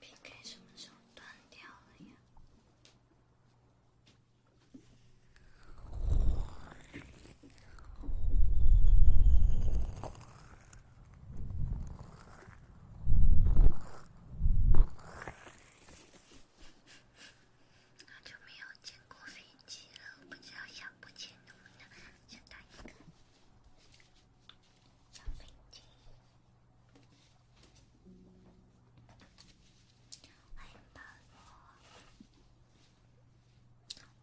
P.K. 什么时候断掉了呀？那就没有见过飞机了，不知道小布钱能不能先打一个。小飞机，欢迎宝宝。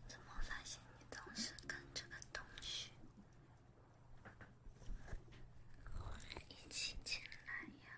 怎么发现你总是跟这个东西一起进来呀？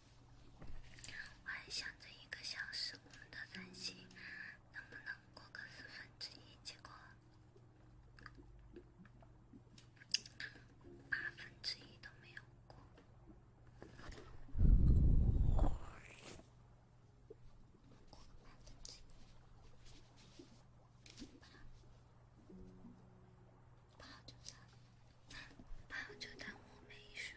我还想着一个小时，我们的三息能不能过个四分结果八分之一都没有过。过分之就当我没说。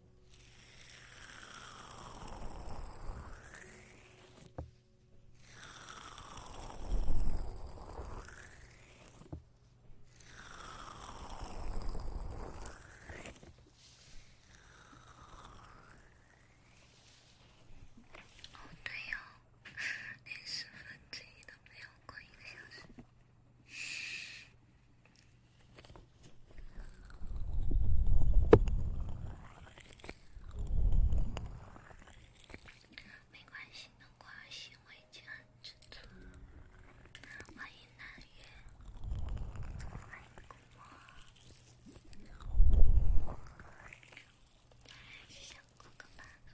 哦，对哦，连十分之一都没有过一个小时。没关系，没关系，我已经很知足。欢迎南岳，欢迎光临。想做个满分。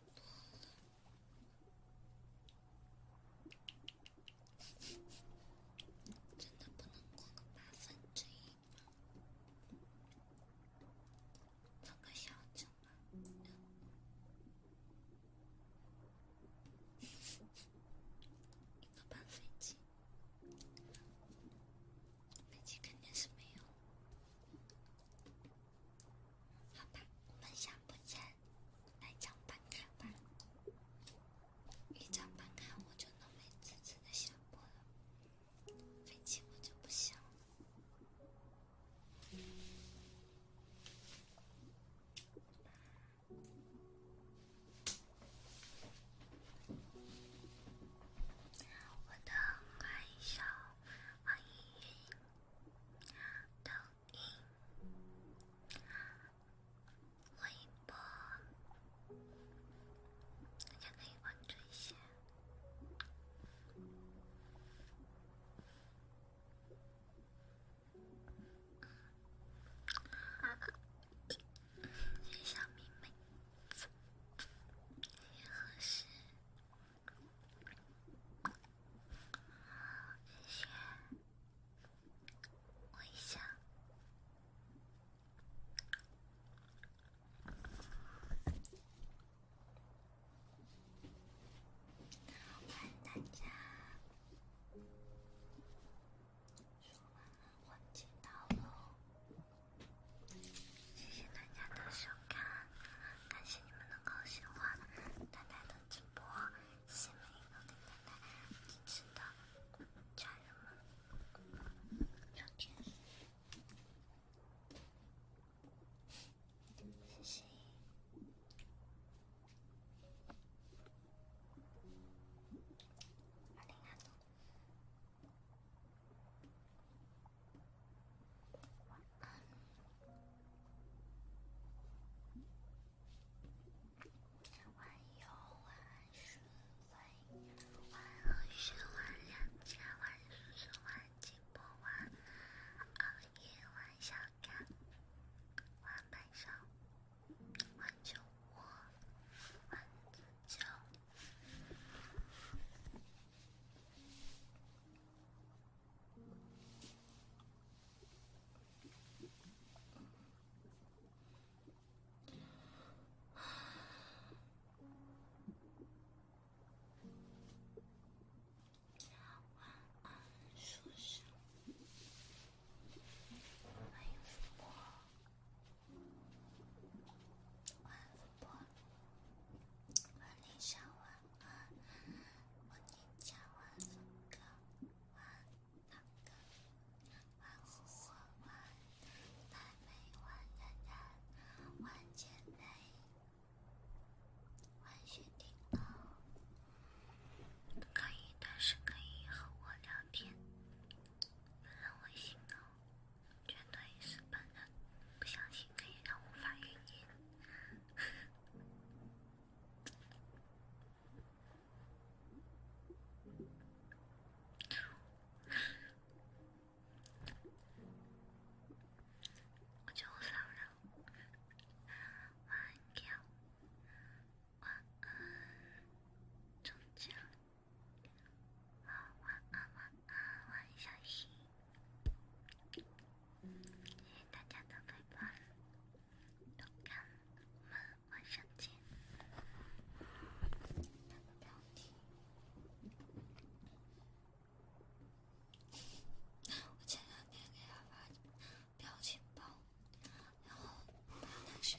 真的不能过个八分之一吗？做个小奖吧，一个半飞机，飞机肯定是没有。好吧，梦想不成，来张办卡吧。一张办卡，我就能美滋滋的下播了。飞机我就不想了。我等一下。网易云、抖音、微博，大家可以关注一些。谢谢小迷妹，谢谢何氏。谢谢，我一下。欢迎大家，我接到了，谢谢大家的收看，感谢你们的。高兴吗？蛋蛋的直播，希望以后跟蛋蛋一起的家人们聊天。谢谢。二零二。晚安，晚游，晚安睡，晚游，晚十万，两千万，数十万，几百万，熬夜玩小卡，玩白手，玩酒窝，玩自救。晚安，书生。欢迎主播，晚安主播，晚安小晚。玩，我念家玩，狗玩，狼狗玩，火火玩，白眉玩，奶奶玩，姐妹玩，雪顶猫。可以，但是可以和我聊天，不让我心动。觉得意思笨不相信可以让无法语音。我就不骚扰。晚安，小，谢谢大家的陪伴，都看，我们晚上见。那个标题，我前两天给他发表情包，然后他那谁。